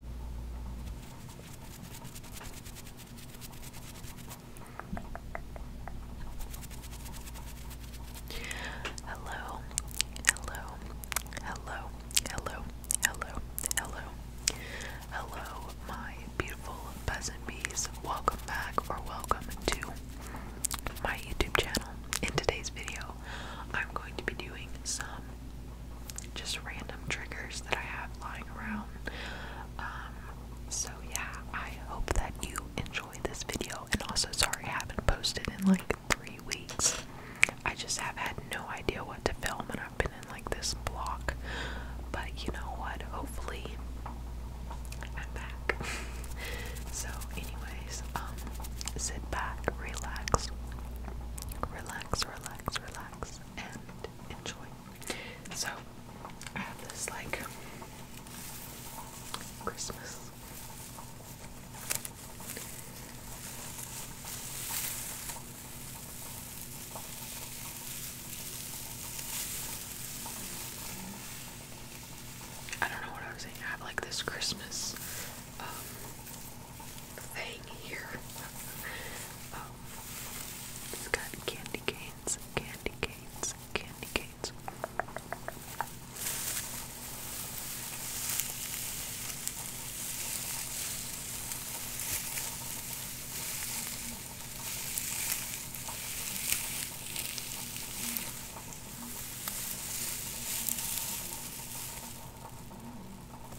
Hello, hello, hello, hello, hello, hello, hello, my beautiful peasant bees. Welcome back or welcome to my YouTube channel. In today's video, I'm going to be doing some just random triggers that I have lying around. Um, so yeah, I hope that you enjoy this video. And also, sorry I haven't posted in like three weeks. I just have had no idea what to film, and I've been in like this block. But you know what? Hopefully, I'm back. so, anyways, um, sit back, relax, relax, relax, relax, and enjoy. So, I have this like Christmas I don't know what I was saying. I have like this Christmas um, thing here. oh, it's got candy canes, candy canes, candy canes.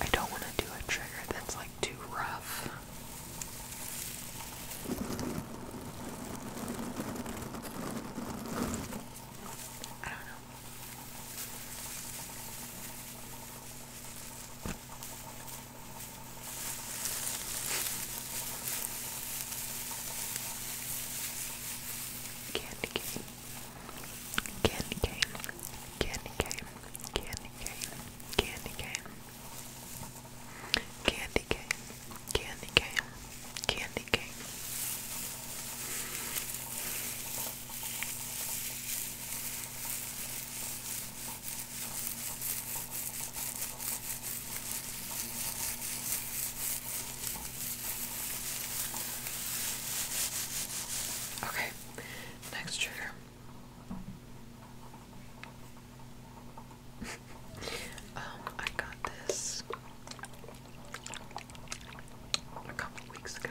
I don't want to do a trigger that's like too rough. I don't know. Candy cane. Candy cane, candy cane, candy cane, candy cane, candy cane, candy cane, candy cane. Okay, Next trigger. um, I got this a couple weeks ago.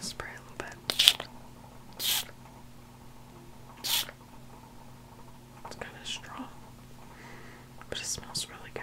spray a little bit. It's kind of strong, but it smells really good.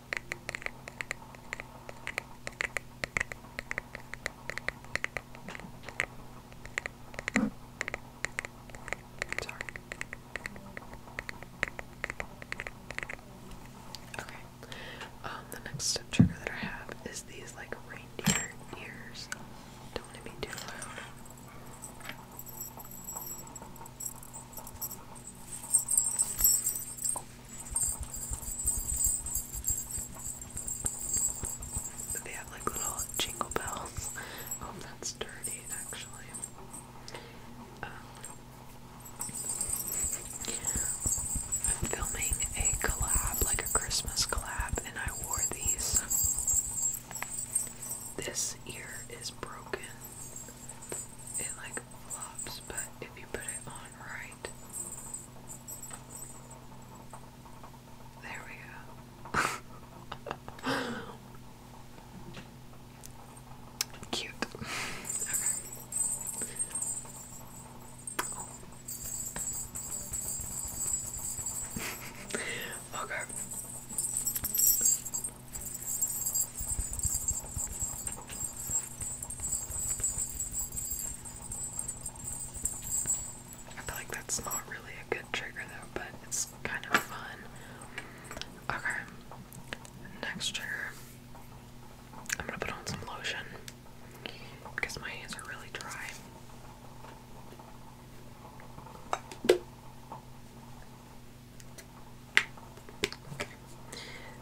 Sorry. Okay. Um, the next step trigger that I have is these like reindeer ears. Don't be too loud. They have like little jingle bells. Oh, that's dirty actually. Um, I'm filming a collab, like a Christmas collab, and I wore these. This ear is broken. It like flops, but if you put it on right, there we go. Cute. okay. I feel like that's not really a good trigger though, but it's kind of fun. Okay, next trigger. I'm gonna put on some lotion because my hands are really dry.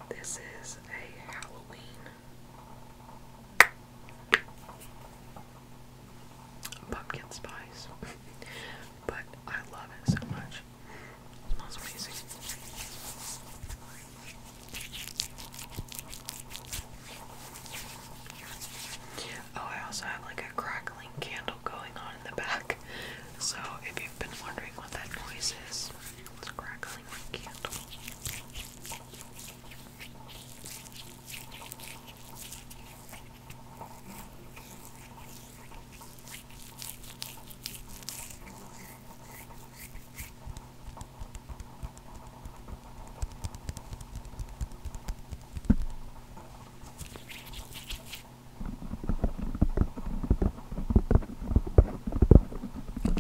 This is a Halloween pumpkin spice, but I love it so much. smells amazing. Oh, I also have like a crackling candle going on in the back. So if you've been wondering what that noise is, it's a crackling candle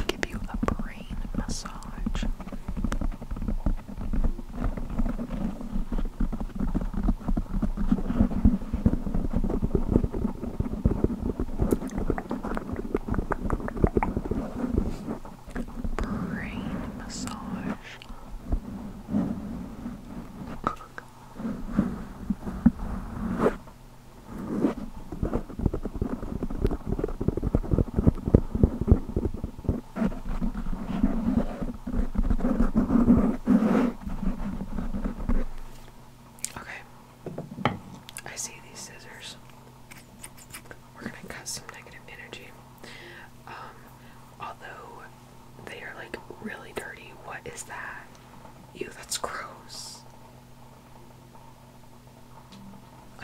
give you a brain massage. Brain massage. Okay. I see these scissors. We're gonna cut some negative energy. Um, although they are like really dirty. What is that? You, that's gross.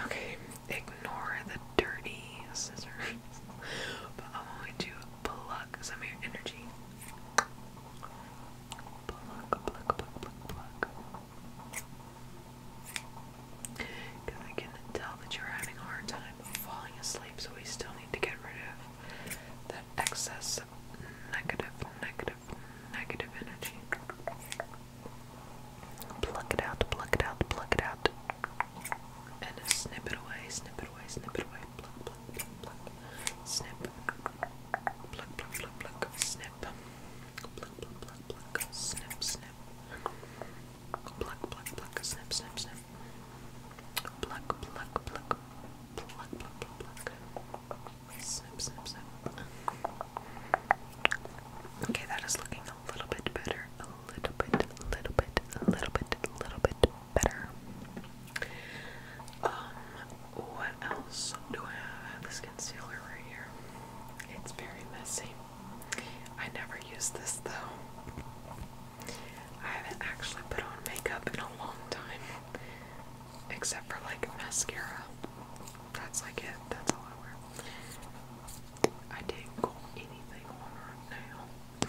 Okay, ignore the dirty scissors. but I'm going to pluck some of your energy. Pluck, pluck, pluck, pluck, pluck. Because I can tell that you're having a hard time falling asleep, so we still need to get rid of that excess negative, negative, of negative, negative, negative energy. Pluck it out, pluck it out, pluck it out. And snip it away, snip it away, snip it away. Pluck, pluck, pluck, Snip. Pluck, pluck, pluck, Snip. pluck, pluck, pluck. Snip, snip. Pluck, pluck, pluck. Snip, snip, snip. Pluck, pluck, pluck. Pluck, pluck, pluck, pluck. Snip, snip, snip. Okay, that is looking a little bit better. A little bit, a little bit, a little bit, a little bit better. Um, what else do I have? this concealer right here. It's very messy. I never use this though. I haven't actually put on makeup in a long time. Except for like mascara. That's like it. That's all I wear. I didn't go anything on right now.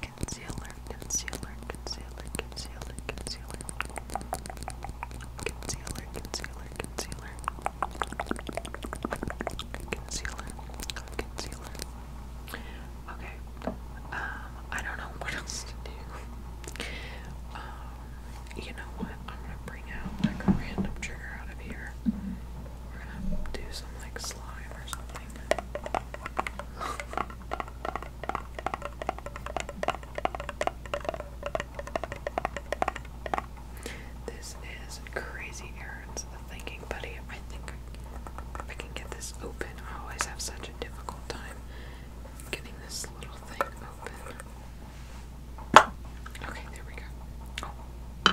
Concealer, concealer, concealer, concealer, concealer. Concealer, concealer, concealer. Concealer, concealer. Okay. Um, I don't know what else to do. Um, you know what? I'm gonna bring out like a random trigger out of here. We're gonna do some like slime or something. this is Crazy Errands, the Thinking Buddy. I think I can get this open, I always have such a difficult time getting this little thing open. Okay, there we go.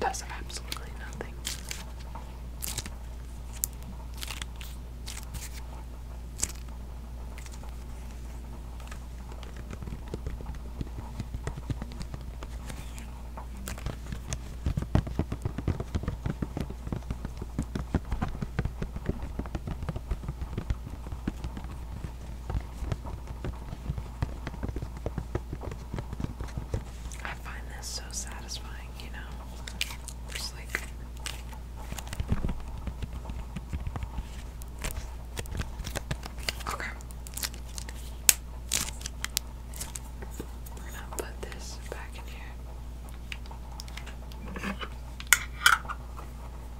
Does absolutely nothing. I find this so satisfying, you know? Just like. Okay. We're gonna put this back in here.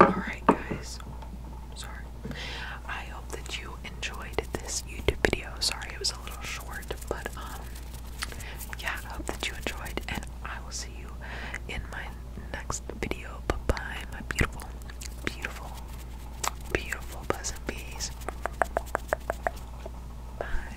Alright, guys. Sorry. I hope that you enjoyed this YouTube video. Sorry it was a little short, but um, yeah, I hope that you enjoyed, and I will see you in my next video. Bye my beautiful, beautiful, beautiful, pleasant Bye.